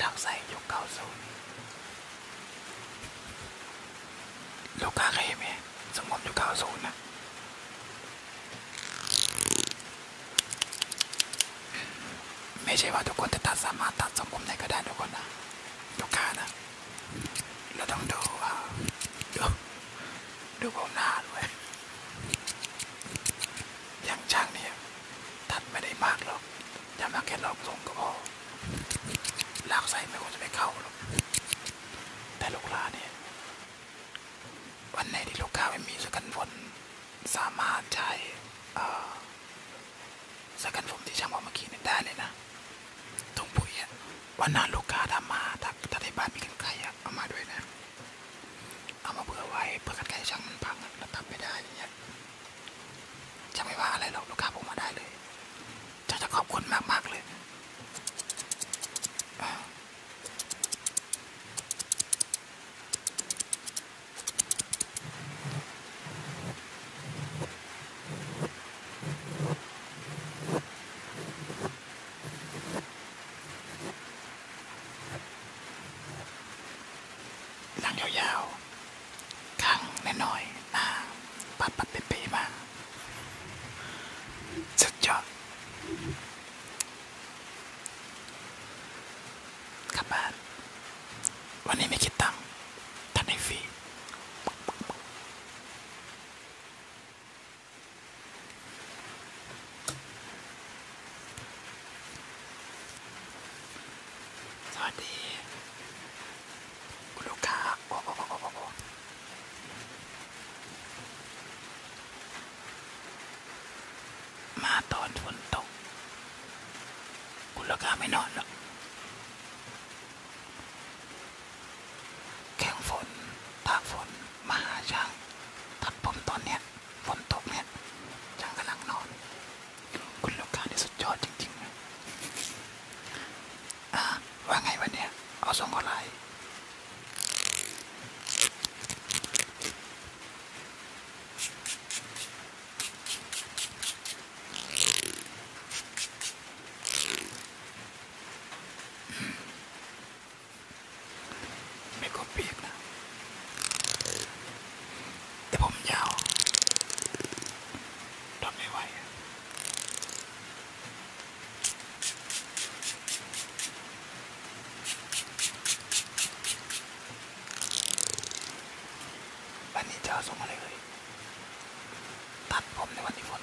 ลัอกใส่ยุคเก้าสูนลูกค้าเคยเห็นไหมสมมติยุคเก้าสูนนะ ไม่ใช่ว่าทุกคนจะตัดสามารถตัดสมมติได้ก็ได้ทุกคนนะลูกค้านะ เราต้องดูว่าดูบมหน้าด้วยอย่างช่างเนี่ยตัดไม่ได้มากหรอกยำนักแค่ลอกทรงก็พอ ลากใส่ไม่ควรจะไปเข้าหรอก แต่ลูกลาเนี่ย วันไหนที่ลูกค้าไม่มีสกันฝนสามารถใช้สกันฝนที่ช่างบอกเมื่อกี้่ได้เลยนะถุงปุ๋ยวันนั้นลูกค้าทำมาถ้าถ้าได้บ้านมีกันไกลอะเอามาด้วยนะ เอามาเผื่อไว้เผื่อกันไกลช่างมันพังแล้วทำไม่ได้อย่างเงี้ยช่างไม่ว่าอะไรหรอก ลูกค้าผมมาได้เลยจะจะขอบคุณมากมากเลยนั่งยาวๆข้างน้อยๆหน้าปัดปัดเป๊ะๆมากสุดยอดกลับบ้านวันนี้ไม่คิดตังค์ท่านให้ฟรีสวัสดีคุณลูกค้าโอ้โอ้โอ้โอ้มาตอนฝนตกคุณลูกค้าไม่นอนหรอกแข่งฝนตากฝนมาหาช่างตัดผมตอนเนี้ย ฝนตกเนี่ยช่างกำลังนอน คุณลูกค้าที่สุดยอดจริงๆอ่ะ ว่าไงวันเนี้ย เอาส่งอะไรไม่กลปีกนะแต่ผมยาวทนไม่ไหววันนี้จะส่งอะไรเลย ตัดผมในวันที่ฝน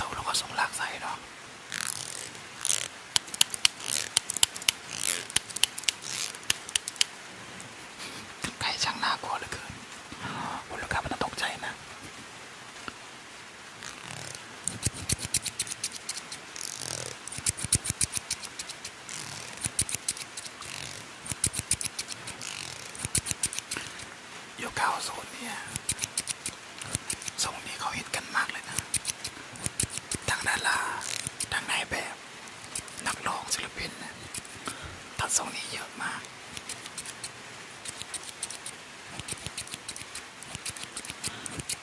ตกแล้วก็ส่งลากใส่เนาะไก่ช่างน่ากลัวเหลือเกินคุณลูกค้ามันต้องตกใจนะยกเก้าศูนย์เนี่ยทรงนี้เขาฮิตกันมากเลยนะ ทั้งดาราทั้งนายแบบนักร้องศิลปินนะตัดทรงนี้เยอะมาก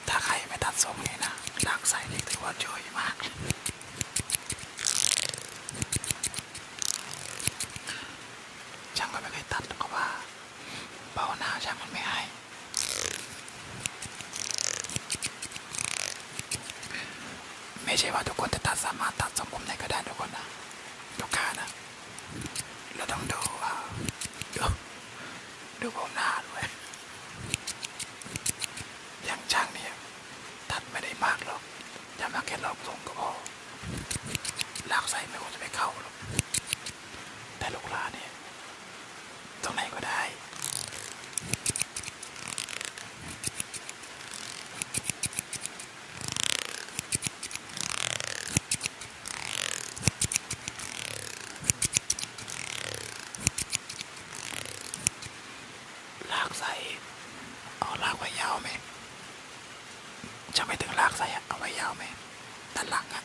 ถ้าใครไม่ตัดทรงนี้นะดักใส่นี่ถือว่าช่วยมากช่างก็ไม่เคยตัดก็ว่าเบาหน้าช่างมันไม่ให้ ไม่ใช่ว่าทุกคนจะตัดสามารถตัดทรงผมไหนก็ได้ทุกคนนะลูกค้านะ เราต้องดูว่าดูผมหนาด้วยอย่างช่างเนี่ยตัดไม่ได้มากหรอกจามาแค่ลอกตรงก็พอลากใส่ไม่ควรจะไปเข้าหรอก แต่ลูกหลานเนี่ย ตรงไหนก็ได้ลากใส่เอาลากไว้ยาวไหมจะไม่ถึงลากใส่เอาไว้ยาวไหมด้านหลังอะ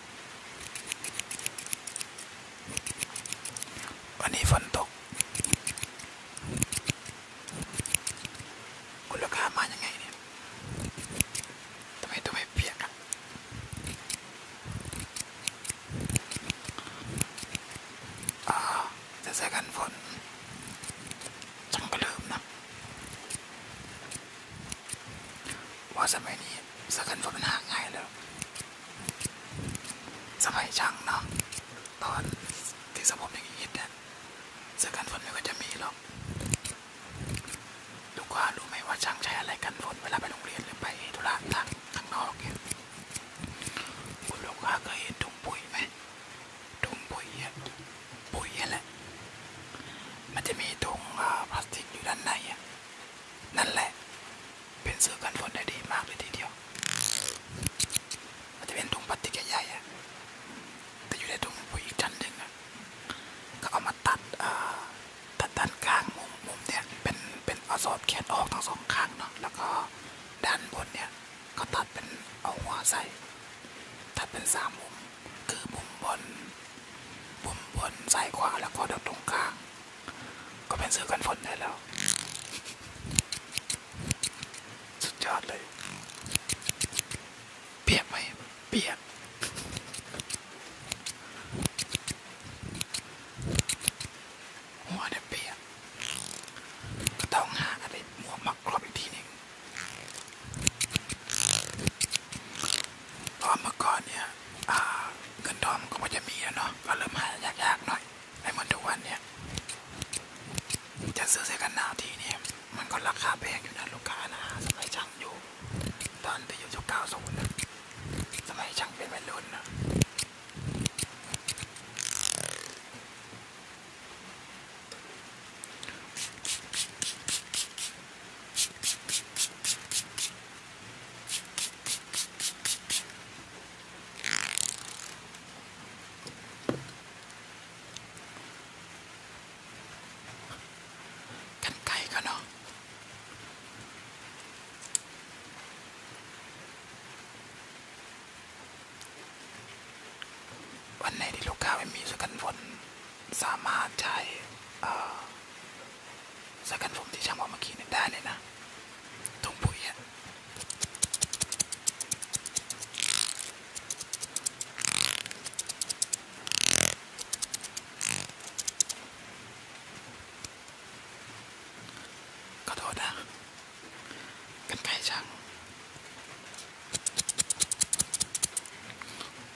วันนี้ฝนตกคุณลูกค้ามายังไงเนี่ยทำไมทำไมเปียกอะอ่าจะใส่กันฝนฉันก็ลืมนะว่าสมัยนี้สกันรถมันหาง่ายแล้วสมัยช่างเนาะตอนที่สมผมยัางนี้เนี่ยสกันฝนไม่ก็จะมีหรอกดูกว่ารู้ไหมว่าช่างใช้อะไรกันฝนเวลาไปโรงเรียนหรือไปธุระทางข้างนอกเนี่ยคุณลูกค้าเคยเห็นถุงปุ๋ยไหมถุงปุ๋ยเนี่ยปุ๋ยอะไรมันจะมีถุงพลาสติกอยู่ด้านในนั่นแหละเป็นเสื้อกันฝนได้ดีมากเลยทีเดียวมันจะเป็นถุงพลาสติกใหญ่ๆแต่อยู่ในถุงปุ๋อีกชั้นหนึ่งก็เอามาตัดตัดด้านกลางมุมมุมเนี่ย เป็นเป็นเอาศอบแขนออกทั้งสองข้างเนาะแล้วก็ด้านบนเนี่ยก็ตัดเป็นเอาหัวใส่ตัดเป็นสามมุมคือมุมบนปุ่มบนซ้ายขวาแล้วก็ดับตรงกลาง ก็เป็นเสื้อกันฝนได้แล้ว สุดยอดเลยเปียกไหมเปียกหัวเนี่เปียกก็ต้องหาอะไรหมวกมักครอบอีกทีหนึ่งเพราะเมื่อก่อนเนี่ยเงินทองก็ไม่จะมีเนาะก็เริ่มหายากๆหน่อยในเหมือนทุกวันเนี่ยจะซื้อเสื้อกันหนาวทีเนี่ยมันก็ราคาแพงอยู่นะลูกค้านะสมัยช่างอยู่ ตอนไปอยู่ยุคเก้าศูนยสมัยช่างเป็นวม่รุ่นนะกันไก่ก็เนาะ วันไหนที่ลูกค้าไม่มีสักกันฝนสามารถใช้สกันผมที่ช่างบอกเมื่อกี้นีได้เลยนะถุงปุ๋ยขอโดนนะกันไกช่าง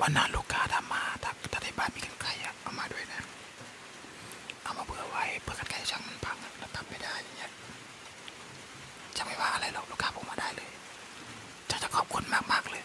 วันนั้นลูกค้าทำมาถ้าถ้าทีบ้านมีกันไกลอะเอามาด้วยนะ เอามาเผื่อไว้เผื่อกันไกลช่างมันพังแล้วทำไม่ได้อย่างเงี้ยจะไม่ว่าอะไรหรอกลูกค้าผมมาได้เลย จะจะขอบคุณมากมากเลย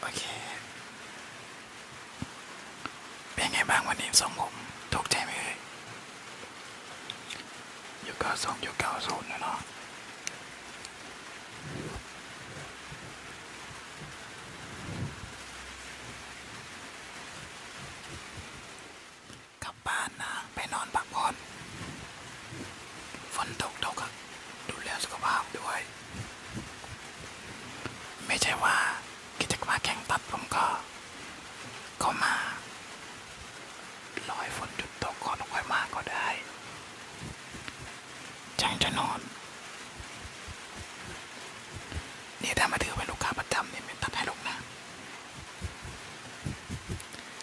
โอเคเป็นไงบ้างวันนี้ทรงผมถูกใจไหมเอ่ยอยู่เก้าสองอยู่เก้าศูนย์นะเนาะกลับบ้านนะไปนอนพักผ่อนฝนตกตกอะดูแลสุขภาพด้วย ไม่ใช่ว่ากิจกรรมแข่งตัดผมก็ ก็มารอให้ฝนหยุดตกก่อนค่อยมาก็ได้จังจะนอนนี่ถ้ามาถือเป็นลูกค้าประจำเนี่ยเปนตัดให้ลูกนะ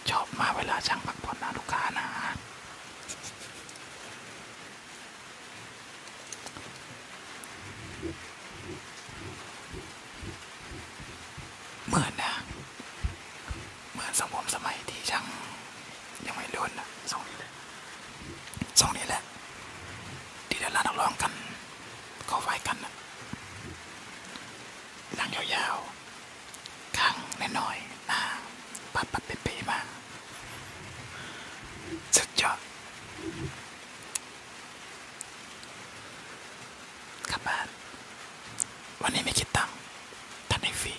ชอบมาเวลาช่างพักผ่อนนะลูกค้านะเหมือนนะเหมือนสมมสมัยที่ช่างยังไม่รุ่นนะสองเลยสองนี้แหละดี่เดินลานักร้องกัน เขาไฟกันนะหลังยาวๆ ข้างน้อยๆหน้าปัดปัดเป๊ะๆมา สุดยอดกลับบ้านวันนี้ไม่คิดตังค์ันใหฟรี